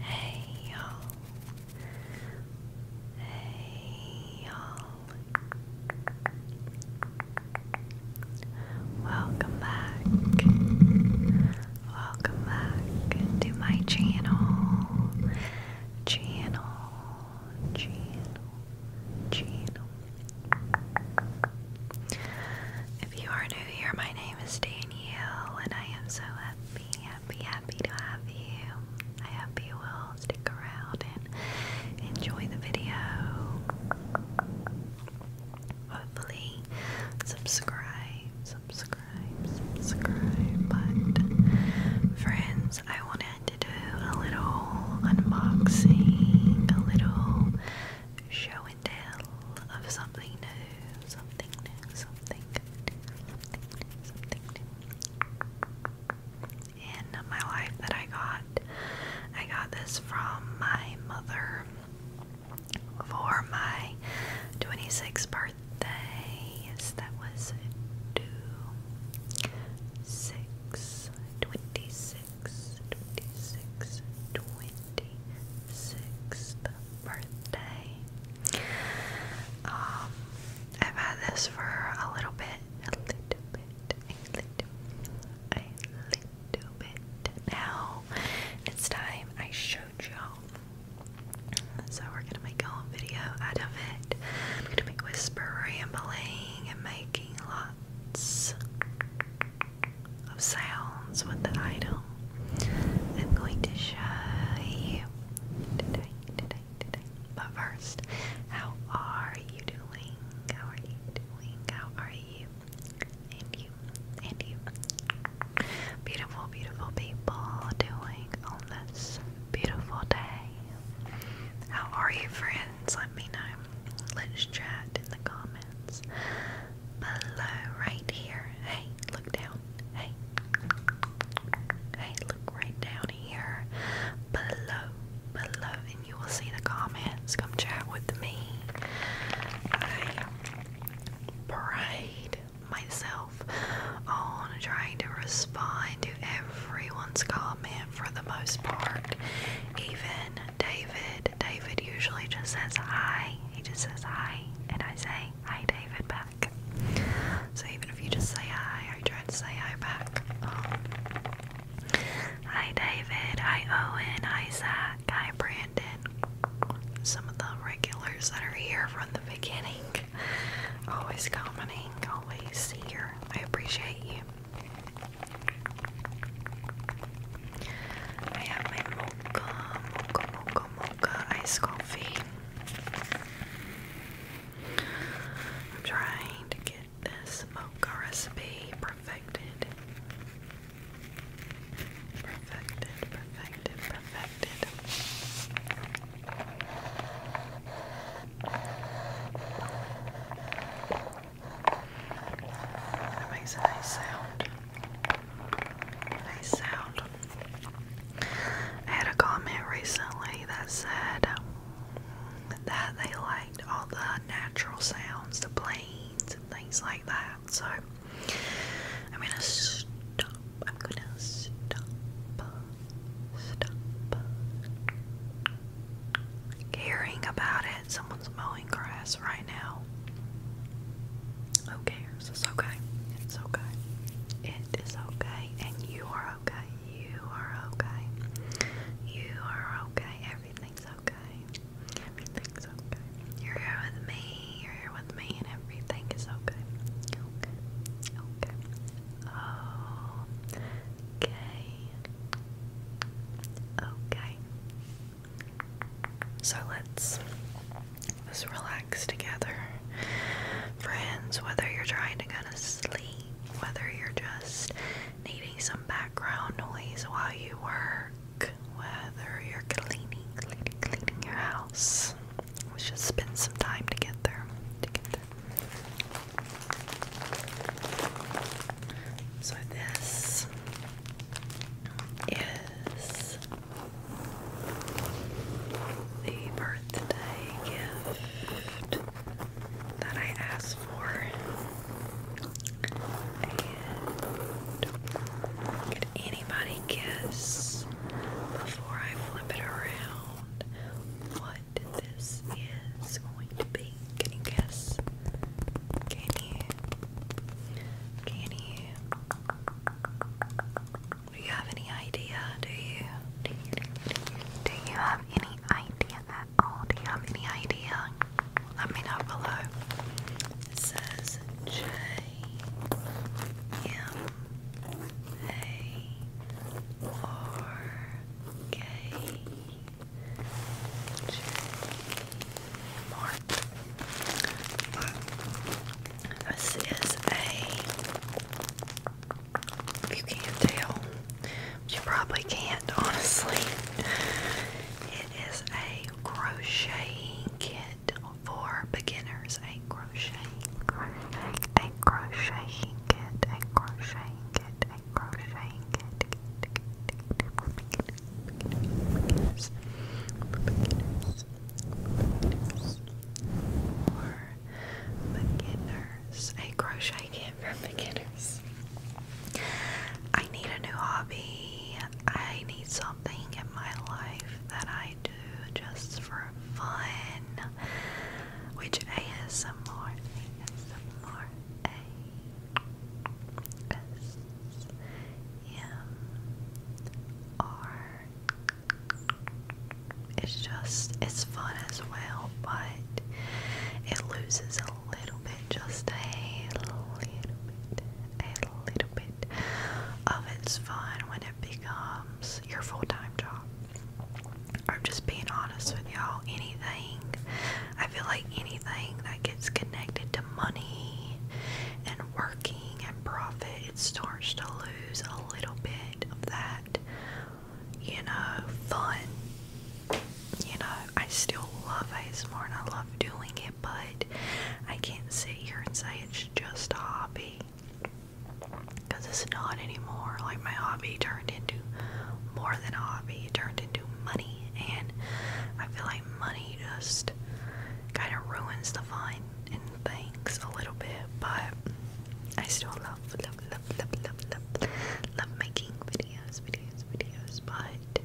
Hey y'all. Hey y'all. Welcome back. Welcome back to my channel. Channel. Channel. Channel. If you are new here, my name name is Danielle, and I am so happy, happy, happy to have you. I hope you will stick around and enjoy the video. Hopefully, subscribe, subscribe, subscribe. But, friends, I wanted to do a little unboxing, a little showing my of something new, something new, something new, something new, something new. In my life that I got, I got this from my mother for my 26th birthday. Yes, that was two, six, 26, 26th birthday. Um, I've had this for a little bit, a little bit, a little, a little bit now. It's time I showed y'all. So we're gonna make a little video out of it. I'm gonna be whisper rambling and making lots of sounds with the idol, I'm going to show you today, today, today. But first, how are you doing? How are you doing? How are you? And you, and you. Beautiful, beautiful people doing on this beautiful day. How are you, friends? Let me know. Let's chat in the comments comments below right here. Hey, look down. Hey. Hey, look right down here. Below. Below. And you will see the comments. Come chat with me. I prayed myself on trying to respond to everyone's comment for the most part. Even David. David usually just says hi. He just says hi, and I say hi, David, back. So even if you just say hi, I try to say hi back. Um, hi, David. Hi, Owen. Hi, Zach. Hi, Brandon. Some of the regulars that are here from the beginning. Always commenting, always here. I appreciate you. I have my mocha, mocha, mocha, mocha ice coffee. I'm trying to get this mocha recipe perfected. Perfected, perfected, perfected. That makes a nice sound. Nice sound. I had a comment recently that said that they liked all the natural sounds, the planes and things like that. So I'm gonna stop. I'm gonna stop. Stop caring about someone's mowing grass right now. Who cares? It's okay. It's okay. It is okay, and you are okay. You are okay. You are okay. Everything's okay. Everything's okay. You're here with me. You're here with me, and everything is okay. Okay. Okay. So let's just relax together. Friends, whether you're trying to go to sleep, whether you're just needing some background noise while you work, whether you're cleaning, cleaning, cleaning your house, we should spend some time together. together. So this is the birthday gift that I asked for. And anybody guess before I flip it around what this is going to be? Can you guess? Can you? Can you? Do you have any idea? Do you? Do you, have any idea at all? Do you have any idea? Let me know below. says J M A R K. This is a, if you can't tell, you probably can't honestly, it is a crocheting kit for beginners. A crocheting, crochet, a crocheting kit, a crocheting kit, a crocheting kit beginners, beginners, beginners, or beginners. A crochet kit for beginners. I need a new hobby. I need something in my life that I do just for fun. Which ASMR, ASMR, S M R. It's just it's fun as well, but it loses a little bit, just a little bit, a little bit of its fun when it becomes your full-time job. I'm just being honest with y'all. Anything, I feel like anything that gets connected to money and working and profit, it starts to lose a little bit of that, you know, fun. You know, I still love more, and I love doing it, but I can't sit here and say it's just a hobby. Because it's not anymore. Like, my hobby turned into more than a hobby, it turned into money and I feel like money just kind of ruins the fun and things a little bit, but I still love, love, love, love, love, love making videos, videos, videos, but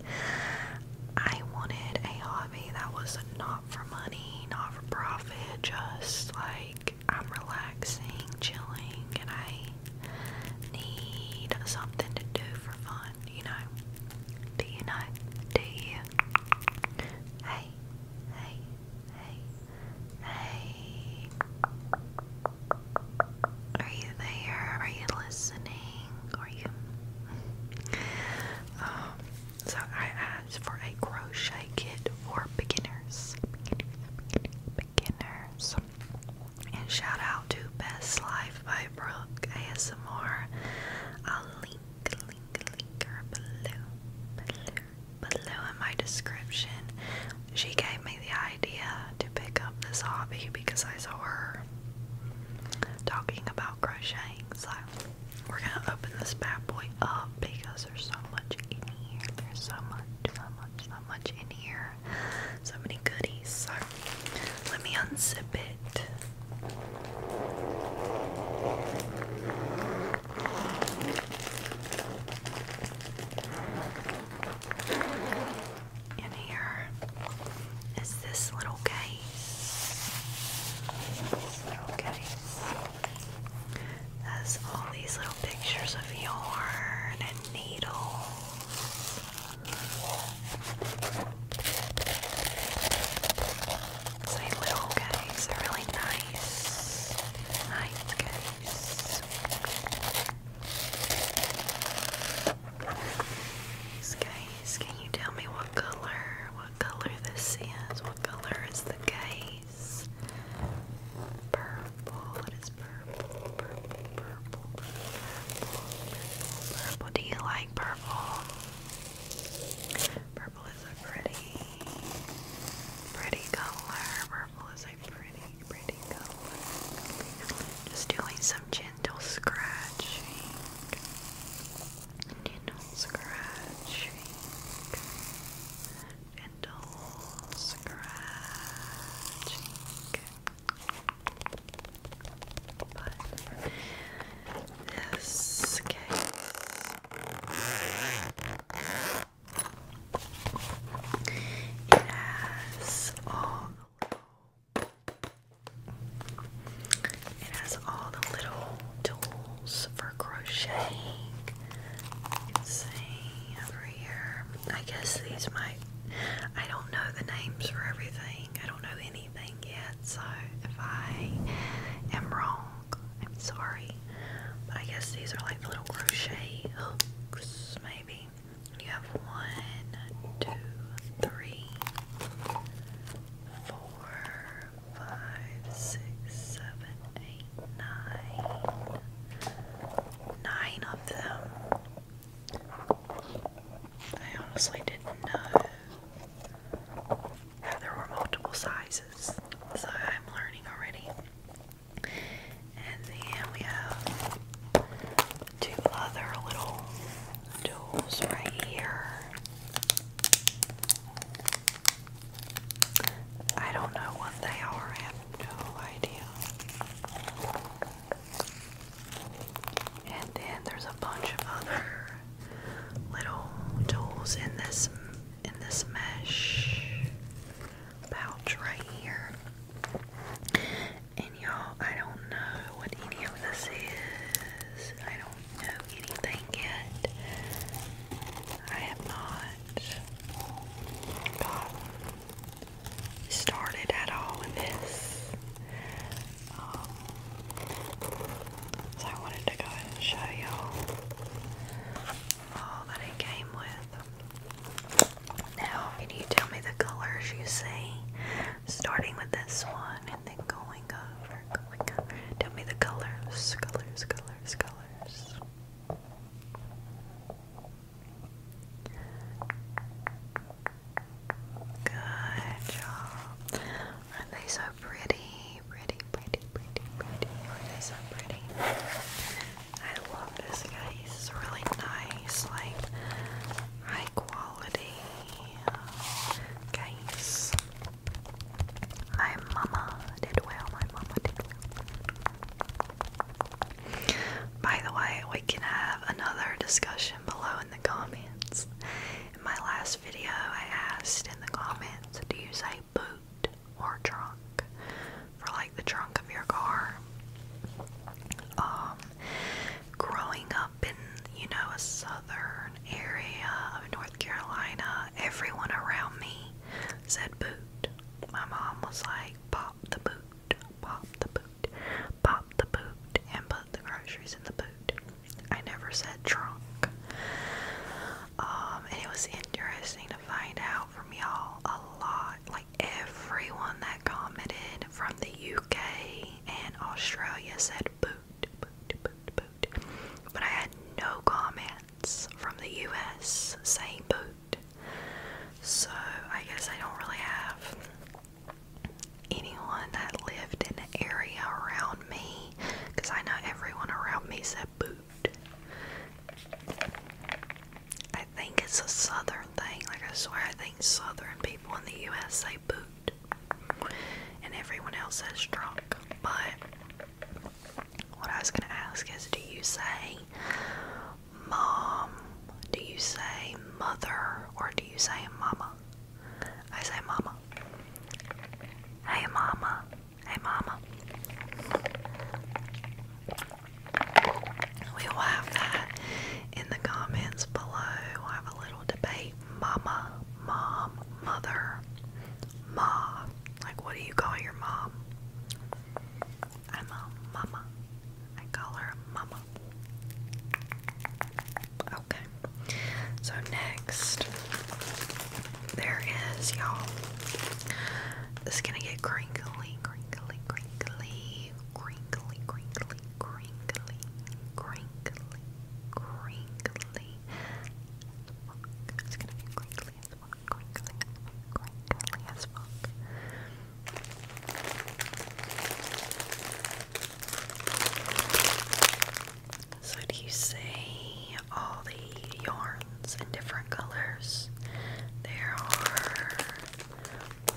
I wanted a hobby that was not for money, not for profit, just like I'm relaxing, chilling, and I need something to do for fun you know? Do you know? Do you? Hey, hey, hey, hey. Are you there? Are you listening? Are you? Um, so I asked for a crochet kit for beginners. Beginners, beginners, beginners. And shout out to Best Life by Brooke ASMR. I'll link, link, link her below, below, in my description. She gave me the idea to pick up this hobby because I saw her talking about crocheting. So we're gonna open this bad boy up because there's so much in here. There's so much, so much, so much in here. So many goodies. So let me unzip it. And here is This little case. Has all these little pictures of yarn and needles. Say little guys are really nice. Nice guys. Guys, can you tell me what color, what color this is? What color is the case? Purple. It is purple, purple, purple, purple, Do you like purple? Purple is a pretty, pretty color. Purple is a pretty, pretty color. Just doing some gentle scratching. Gentle scratching. Gentle scratching. But this case it has all the little tools for crocheting. You can see over here I guess these might. I don't know the names for everything. I don't know anything yet, so if I am wrong, I'm sorry. But I guess these are like little crochet hooks, maybe. You have one, two, three, four, five, six, seven, eight, nine. Nine of them. I honestly didn't know there were multiple sizes, so I'm learning already. And then we have two other little tools right here. I don't know what they are, I have no idea. And then there's a bunch of other little tools in this in this mesh pouch right here. And y'all, I don't know what any of this is. I don't know anything yet. I have not started at all in this. Um, so I wanted to go ahead and show y'all all that it came with. Now, can you tell me the colors you see? Starting with this one and then going over, Tell me the colors, colors, colors, colors. Good job. Aren't they so pretty? Pretty, pretty, pretty, pretty. Aren't they so pretty? I love this guy. He's really nice, like high quality case. Uh, My mama did well. My mama did well. By the way, we can have another discussion below in the comments. In my last video, I asked in the comments do you say boot or trunk for like the trunk of your car? Um, growing up in, you know, a southern area of North Carolina, everyone around me said boot. My mom was like, pop the boot pop the boot, pop the boot, and put the groceries in the boot. I never said trunk. Um, and it was interesting to find out from y'all a lot. Like everyone that commented from the UK and Australia said boot, boot, boot, boot. But I had no comments from the US saying boot. So I guess I don't really have anyone that lived in the area around me because I know everyone around me said boot. I think it's a southern thing. Like I swear I think southern people in the US say boot. And everyone else says drunk. But what I was gonna ask is do you say mom? Do you say mother or do you say mama? I say mama. Hey mama. Hey mama. We will have that in the comments below. We'll have a little debate. Mama, mom, mother, ma. Like, what do you call your mom? I'm a mama. I call her mama. Okay. So next there is y'all. This is gonna get crinkly, crinkly, crinkly, crinkly, crinkly, crinkly, crinkly, crinkly. It's gonna be crinkly as fuck, crinkly, crinkly as fuck. So, do you see all the yarns in different colors? There are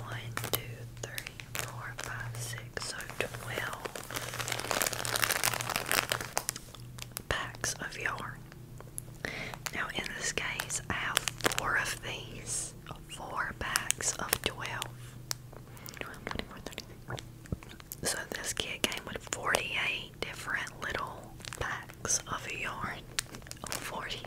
one, two, three, four, five, six, so twelve packs of yarn. Now, in this case, I have four of these four packs of 12. So this kit came with 48 different little packs of yarn. 48.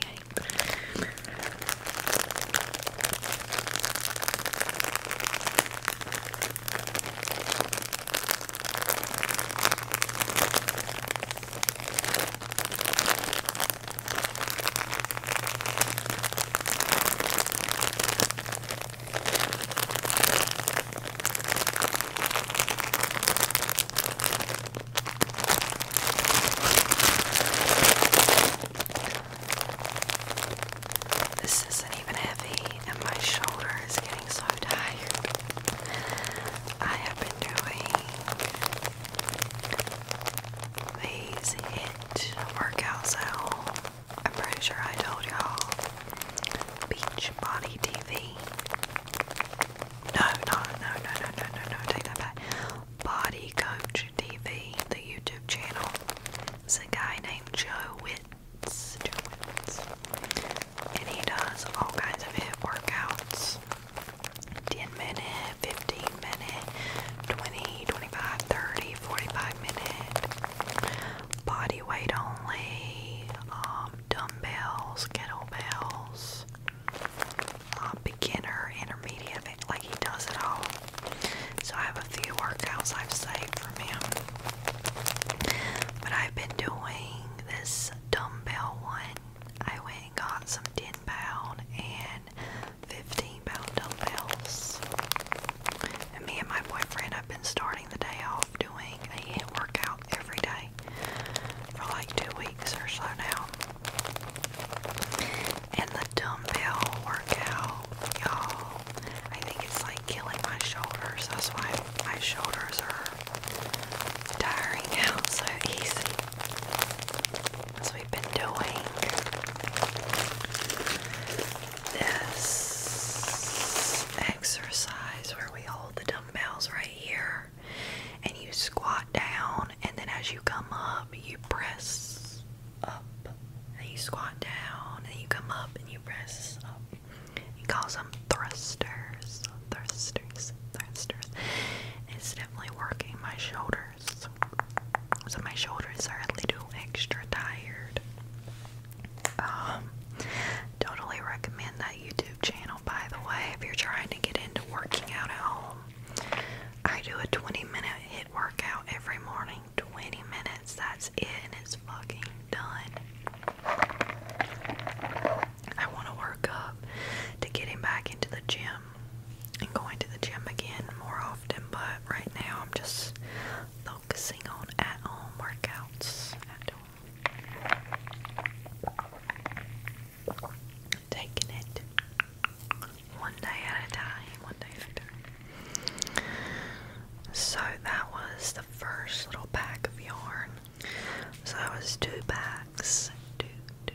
This isn't even heavy, and my shoulder is getting so tired. I have been doing these hit workouts at home. I'm pretty sure I told y'all. Beach Body TV. No, no, no, no, no, no, no, no. Take that back. Body Coach TV, the YouTube channel. It's a guy named Joe Witz. Joe Witz. And he does all kinds of hit workouts. 10 minute, 15 minute, 20, 25, 30, 45 minute, body weight only, um, dumbbells, kettlebells, uh, beginner, intermediate, like he does it all. So I have a few workouts I've saved from him. But I've been doing this dumbbell one I went and got some 10 pound and 15 pound dumbbells. And me and my boyfriend have been starting the day off doing a hit workout every day for like two weeks or so now. And the dumbbell workout, y'all, I think it's like killing my shoulders. That's why my shoulders are tiring out so easy. As we've been doing this exercise where we hold the dumbbells right here and you squat down, and then as you come up, you press up, and you squat down, and you come up, and you press up. He calls them thrusters, thrusters, thrusters. It's definitely working my shoulders. So my shoulders are a little extra tired. Um, totally recommend that YouTube channel, by the way, if you're trying to get into working out at home. I do a 20 minute hit workout every morning. 20 minutes, that's it, and it's fucking done. I want to work up to getting back into the gym and going to the gym again more often, but right now I'm just focusing on at home workouts. At home. Taking it one day at a time, one day at a time. So that was the first little pack of yarn so that was two packs. Two, two.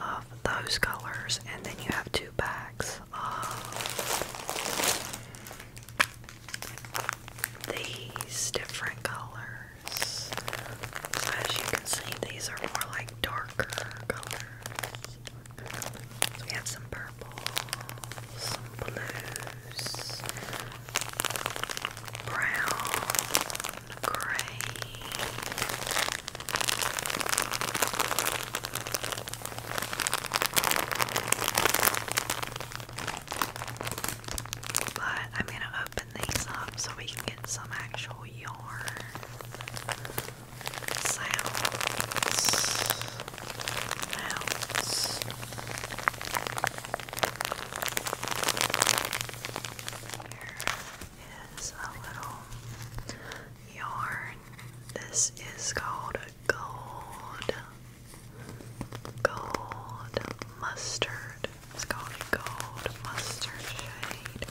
of those colors, and then you have two packs of these different colors. So, as you can see, these are more like darker colors. we have some purple, some blues, brown, grey. But I'm going to open these up so we can get some actual yarn sounds. Here is a little yarn. This is called a gold. Gold mustard. It's called gold mustard shade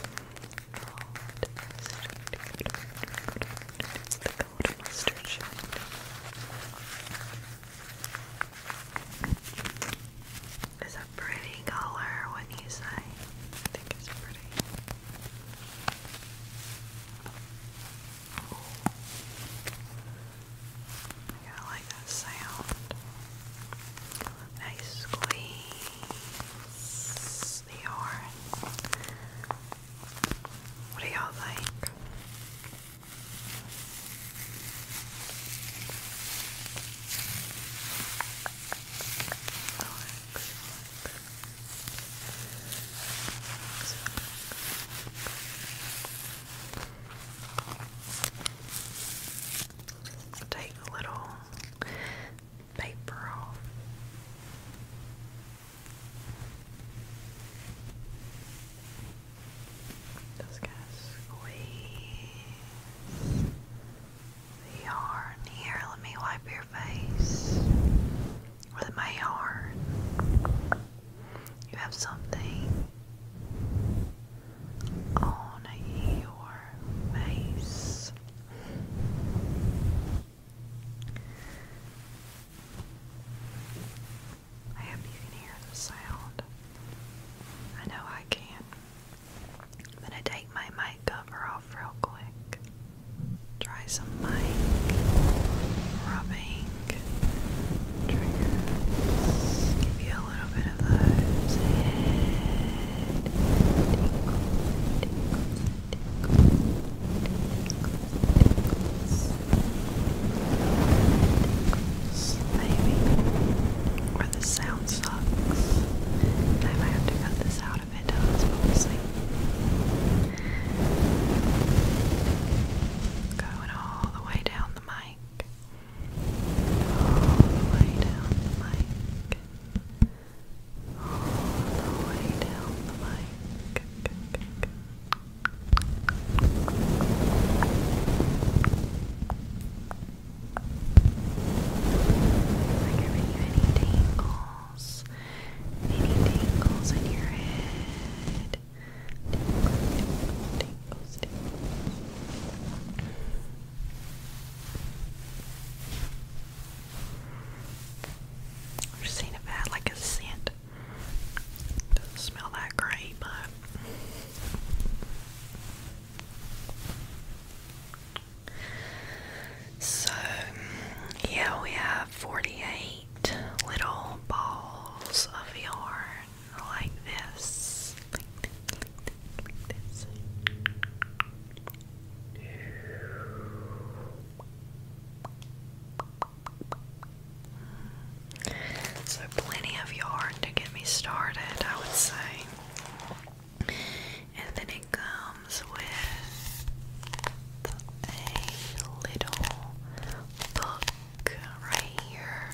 gold mustard It's a pretty color, would you say? I think it's pretty. I like that sound. Nice squeeze the orange. What are y'all like? Take a little paper off. Just gonna squeeze the yarn here. Let me wipe your face with my yarn. You have something on your face. I hope you can hear the sound. I know I can. I'm gonna take my mic cover off real quick. Try some mic rubbing triggers. Give you a little bit of those tickles, maybe, or the sound sucks. I might have to cut this out if it does, but we'll see. Going all the way down the mic. All the way down the mic. All the way down the mic. Like giving you any tingles, any tingles in your head. Tingles, tingles, tingles. i am just saying about like a scent doesn't smell that great, but so yeah, we have forty-eight little balls of yarn like this. So, plenty of yarn to get me started, I would say. And then it comes with a little book right here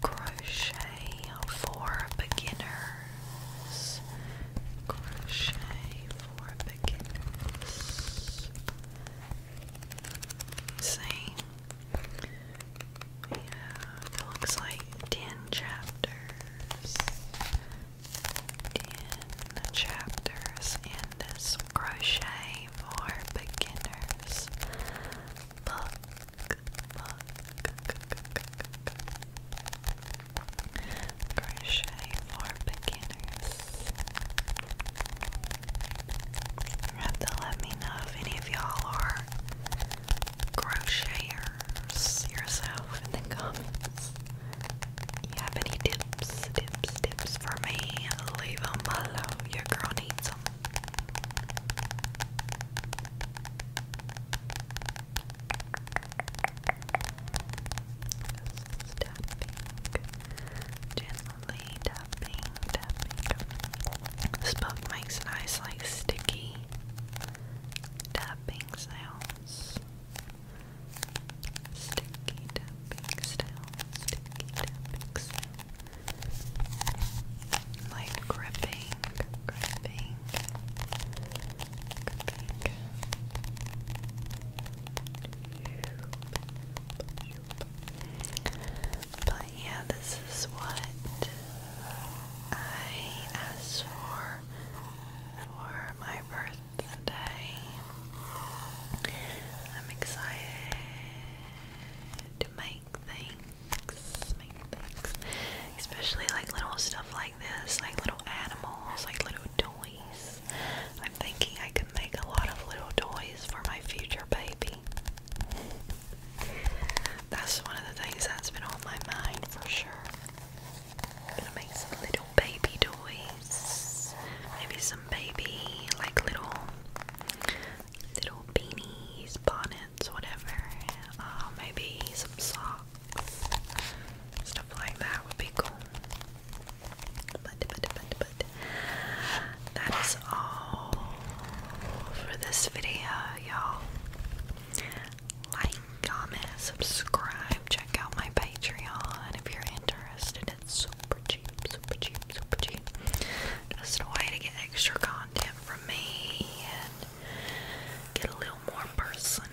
Crochet for Beginners. Crochet for beginners. See, it looks like 10 chapters. 10 chapters in this crochet for beginners book. Book. Crochet for beginners. have to let me know if any of y'all are crocheters yourself in the comments. You have any tips, tips, tips for me? Leave them below. Your girl needs them just tapping, tapping, tapping. This book makes nice, like sticky tapping sounds. Sticky tapping sounds, sticky tapping sounds. Like gripping, gripping. But yeah, this is what I asked for for my birthday. I'm excited to make things, make things, especially like little stuff like this, like little animals, like little toys. I'm thinking I can make a lot of little toys for my future baby. That's one of the things that's been on my mind for sure. I'm gonna make some little baby toys. Maybe some baby, like little, little beanies, bonnets, whatever. Uh, maybe some socks. Stuff like that would be cool. But, but, but, but, that is all for this video, y'all. Like, comment, subscribe, check out my Patreon if you're interested. It's super cheap, super cheap, super cheap. Just a way to get extra content from me and get a little more personal.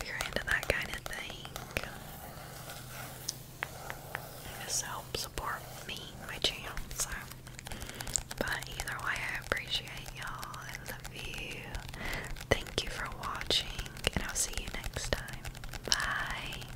If you're into that kind of thing, this helps support me, my channel. but either way, I appreciate y'all. I love you. Thank you for watching, and I'll see you next time. Bye.